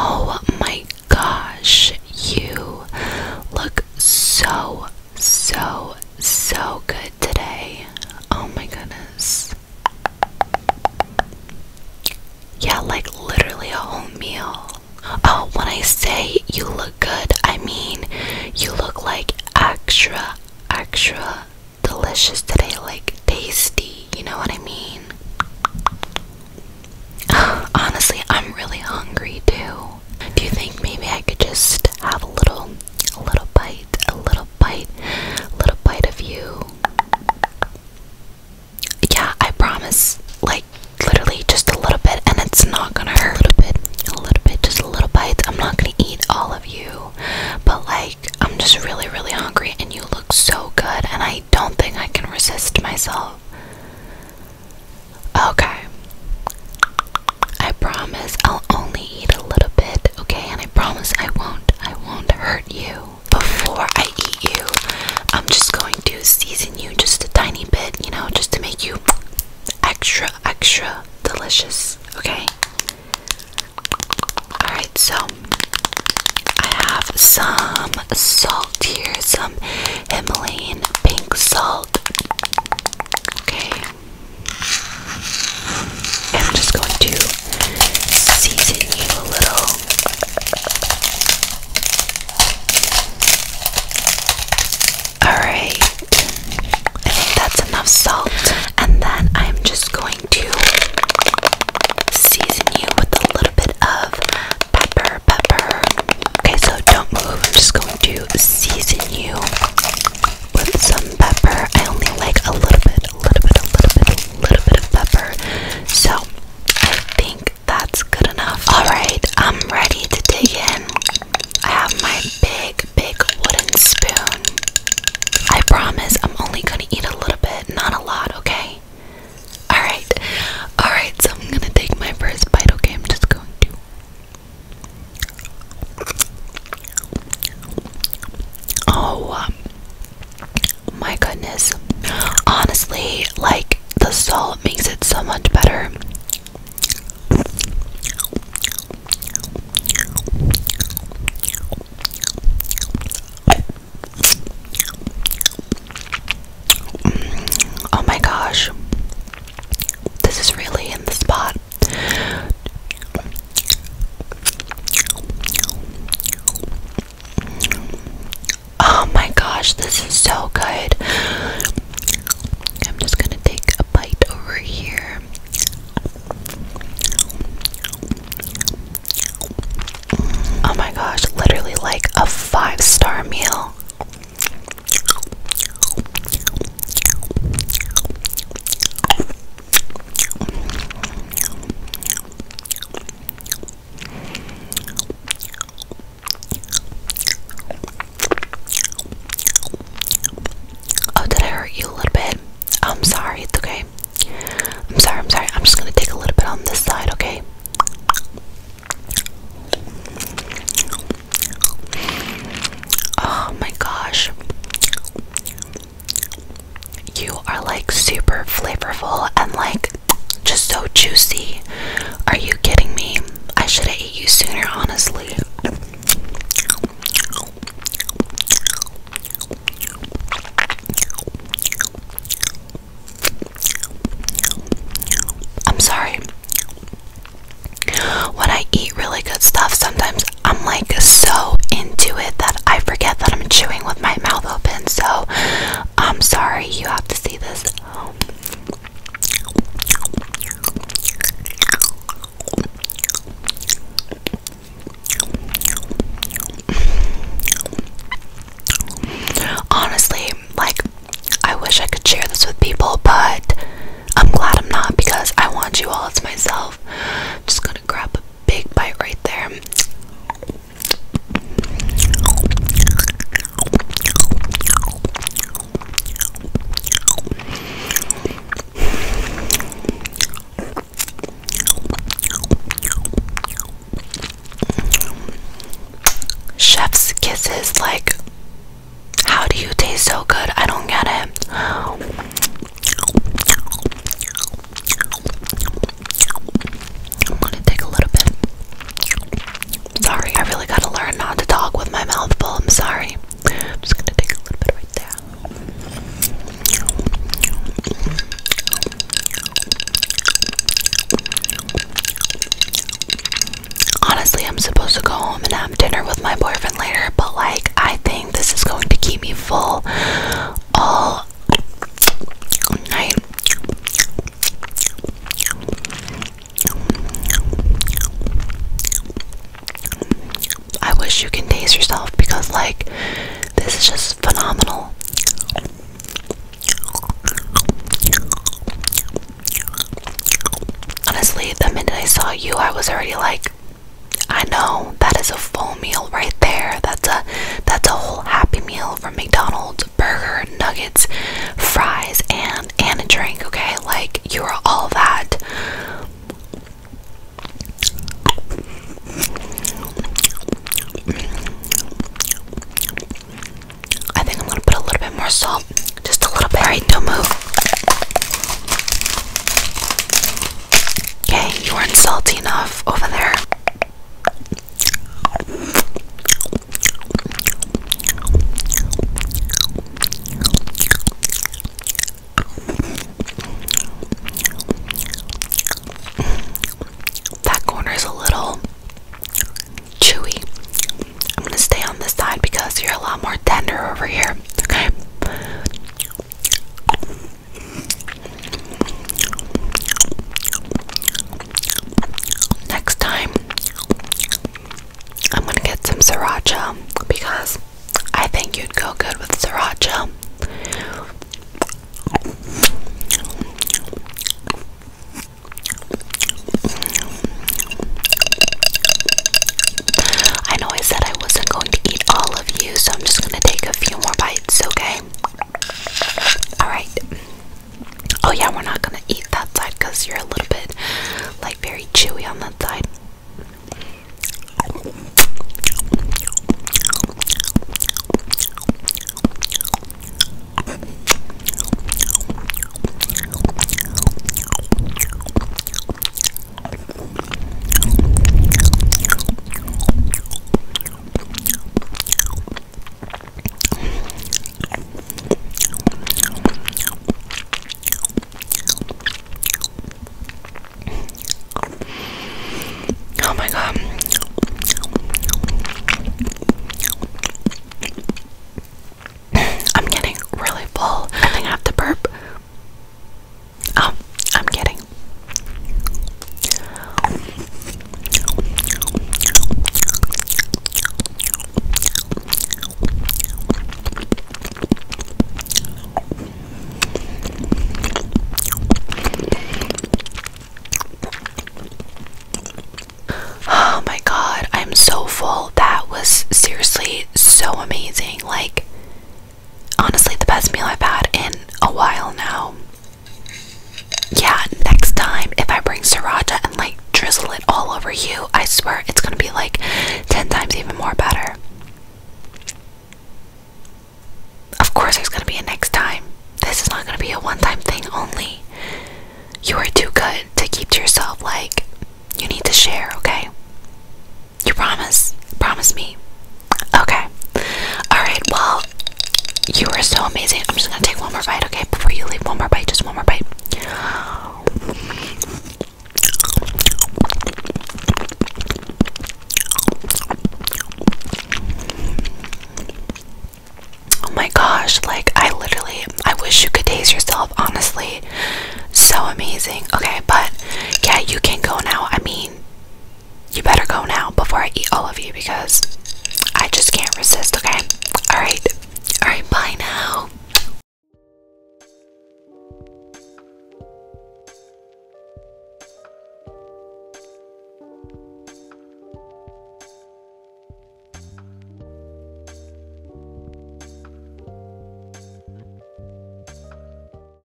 Oh my gosh, you look so, so, so good today. Oh my goodness. Yeah, like literally a whole meal. Oh, when I say you look good, I mean you look like extra, extra, delicious today, like tasty, you know what I mean? Honestly, I'm really hungry too. Do you think maybe I could just have a little, a little bite, a little bite, little bite of you? Yeah, I promise. Like, literally just a little bit, and it's not gonna hurt. A little bit, a little bit, just a little bite. I'm not gonna eat all of you, but like. I'm just really, really hungry, and you look so good, and I don't think I can resist myself. Okay. I promise I'll only eat a little bit, okay? And I promise I won't, I won't hurt you. Before I eat you, I'm just going to season you just a tiny bit, you know, just to make you extra, extra delicious, okay? Alright, so I have some salt here, some Himalayan pink salt. Okay. I'm just going to season a little. Alright, I think that's enough salt. And then I'm just going to season you with a little bit of pepper, pepper. Okay, so don't move. I'm just going to season you with some pepper. I only like a little bit, a little bit, a little bit, a little bit of pepper. So I think that's good enough. Alright, I'm ready to dig in. I have my big, big wooden spoon. I promise I'm only gonna eat a little bit, not a lot, okay? Alright, alright, so I'm gonna take my first bite, okay? I'm just going to. Oh um, my goodness. Honestly, like the salt makes it so much better. Oh my gosh, this is really in the spot. Oh my gosh, this is so good. I'm just gonna take a bite over here. Oh my gosh, literally like a five star meal. Oh, did I hurt you a little bit? I'm sorry, it's okay. I'm sorry, I'm sorry. I'm just gonna take a little bit on this side, okay? Oh my gosh. You are like super flavorful and like just so juicy. Are you kidding me? I should have you sooner, honestly. I'm sorry. When I eat really good stuff, sometimes I'm like so into it that I forget that I'm chewing with my mouth open. So I'm sorry you have to see this. Honestly, like, I wish I could share this with people, but I'm glad I'm not because I want you all to myself. Just gonna grab a big bite right there. Chef's kisses, like, how do you taste so good? I don't get it. I'm gonna take a little bit. Sorry, I really gotta learn not to talk with my mouth full. I'm sorry. I'm just gonna take a little bit right there. Honestly, I'm supposed to go home and have dinner with my boyfriend later, but like, I think this is going to keep me full all night. I wish you can taste yourself because, like, this is just phenomenal. Honestly, the minute I saw you, I was already like, I know that is a full meal right there. That's a that's a whole happy meal from McDonald's burger, nuggets, fries, and and a drink, okay? Like you are all that. I think I'm gonna put a little bit more salt. Just a little bit. don't move. Okay, you weren't salty enough over there. That corner is a little chewy. I'm gonna stay on this side because you're a lot more tender over here. Okay. Next time, I'm gonna get some sriracha because I think you'd go good with sriracha. I know I said I wasn't going to eat all of you, so I'm just gonna take a few more bites, okay? Alright. Oh, yeah, we're not gonna eat that side because you're a little bit like very chewy on that side. Oh my god. I'm getting really full. I am gonna have to burp. Oh, I'm kidding. Oh my god, I'm so full. That was seriously so amazing. Like, honestly, the best meal I've had in a while now. Yeah, next time if I bring sriracha and like drizzle it all over you, I swear it's gonna be like 10 times even more better. Of course, there's gonna be a next time. This is not gonna be a one time thing only. You are too good to keep to yourself, like, you need to share, okay? You promise? Promise me. Okay. Alright, well, you are so amazing. I'm just gonna take one more bite, okay? Before you leave, one more bite, just one more bite. Oh my gosh, like I literally I wish you could taste yourself, honestly. So amazing. Okay, but yeah, you can go now. I mean, you better go now before I eat all of you because I just can't resist, okay? Alright, alright, bye now.